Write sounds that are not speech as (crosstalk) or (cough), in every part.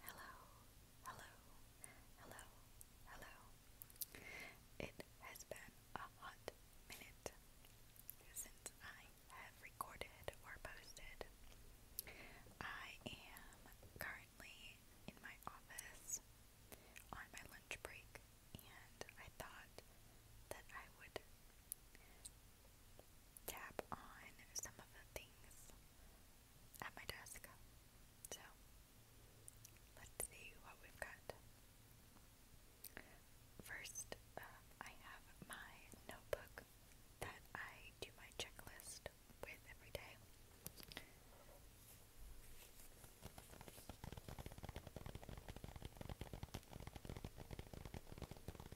Hello, hello, hello, hello. It has been a hot minute since I have recorded or posted. I am currently in my office on my lunch break, and I thought that I would tap on some of the things at my desk. So, let's see what we've got. First, um, I have my notebook that I do my checklist with every day.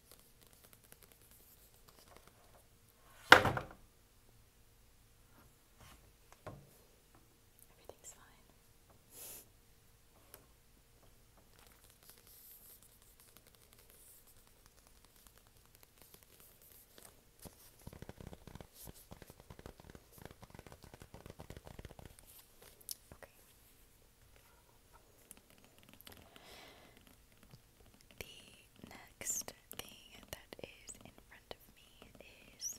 Everything's fine. Okay. The next thing that is in front of me is.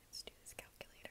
Let's do this calculator.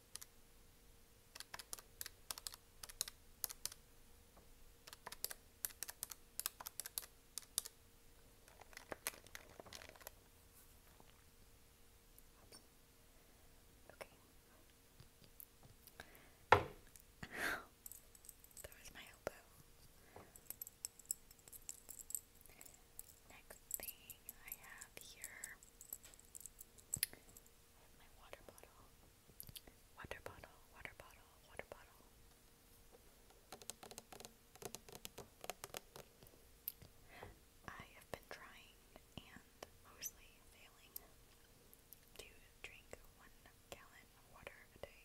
Okay. (laughs) that was my elbow. Next thing I have here is my water bottle. Water bottle, water bottle, water bottle. I have been trying and mostly failing to drink one gallon of water a day.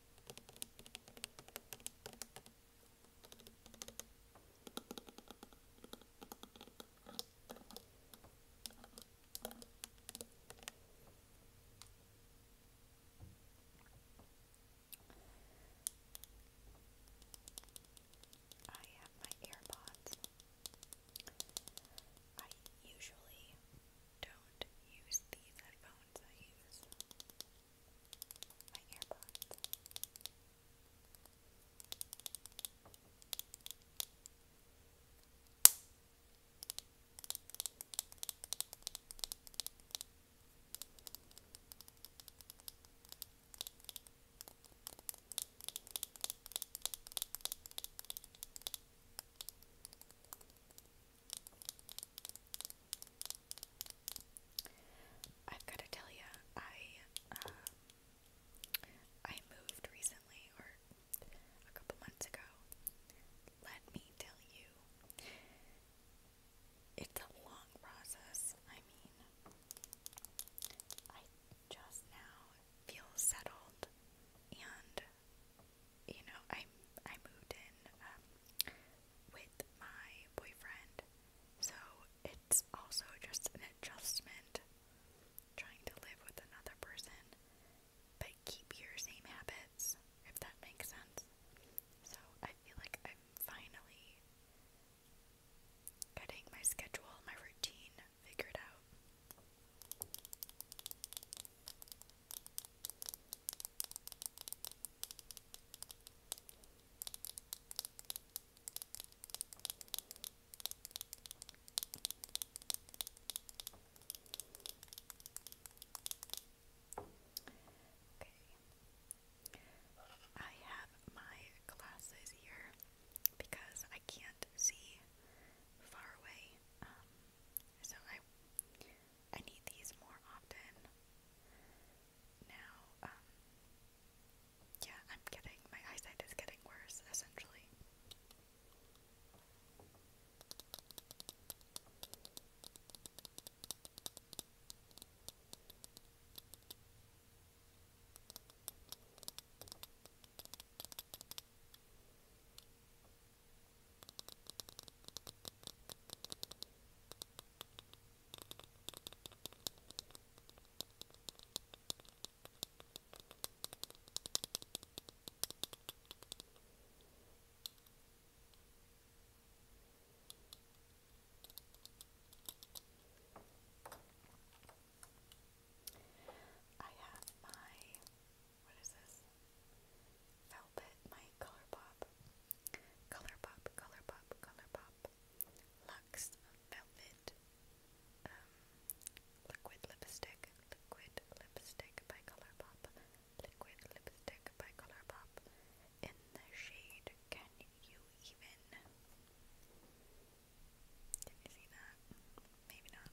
I have my AirPods. I usually don't use these headphones. I use my earbuds. I I've got to tell you, I um, I moved recently, or a couple months ago. Let me tell you, it's a long process. I mean, I just now feel settled and you know, I I moved in um, with my boyfriend, so it's also just an adjustment trying to live with another person, but keep your same habits if that makes sense. So I feel like I'm finally getting my schedule, my routine figured out. Okay. I have my glasses here because I can't see far away. Um, so I I need these more often. Now, um, yeah, I'm getting, my eyesight is getting worse, essentially. I have my what is this? Felpit, my Color Pop, Color Pop, Color Pop, Color Pop, Lux Velvet, um, Liquid Lipstick, Liquid Lipstick by Color Pop, Liquid Lipstick by Color Pop, in the shade Can You Even? Can you see that? Maybe not.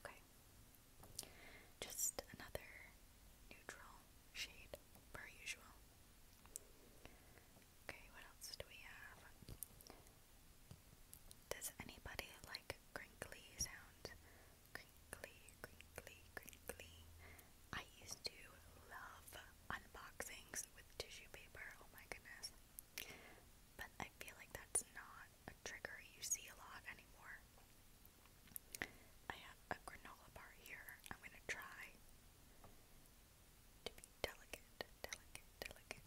Okay. Just another neutral shade, per usual. Okay, what else do we have? Does anybody like crinkly sounds? Crinkly, crinkly, crinkly. I used to love unboxings with tissue paper, oh my goodness. But I feel like that's not a trigger you see a lot anymore. I have a granola bar here. I'm gonna try to be delicate, delicate, delicate.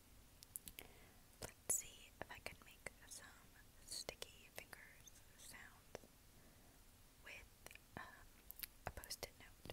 Let's see if I can make some sticky fingers sounds with um, a post note.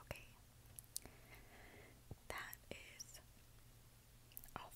Okay, that is all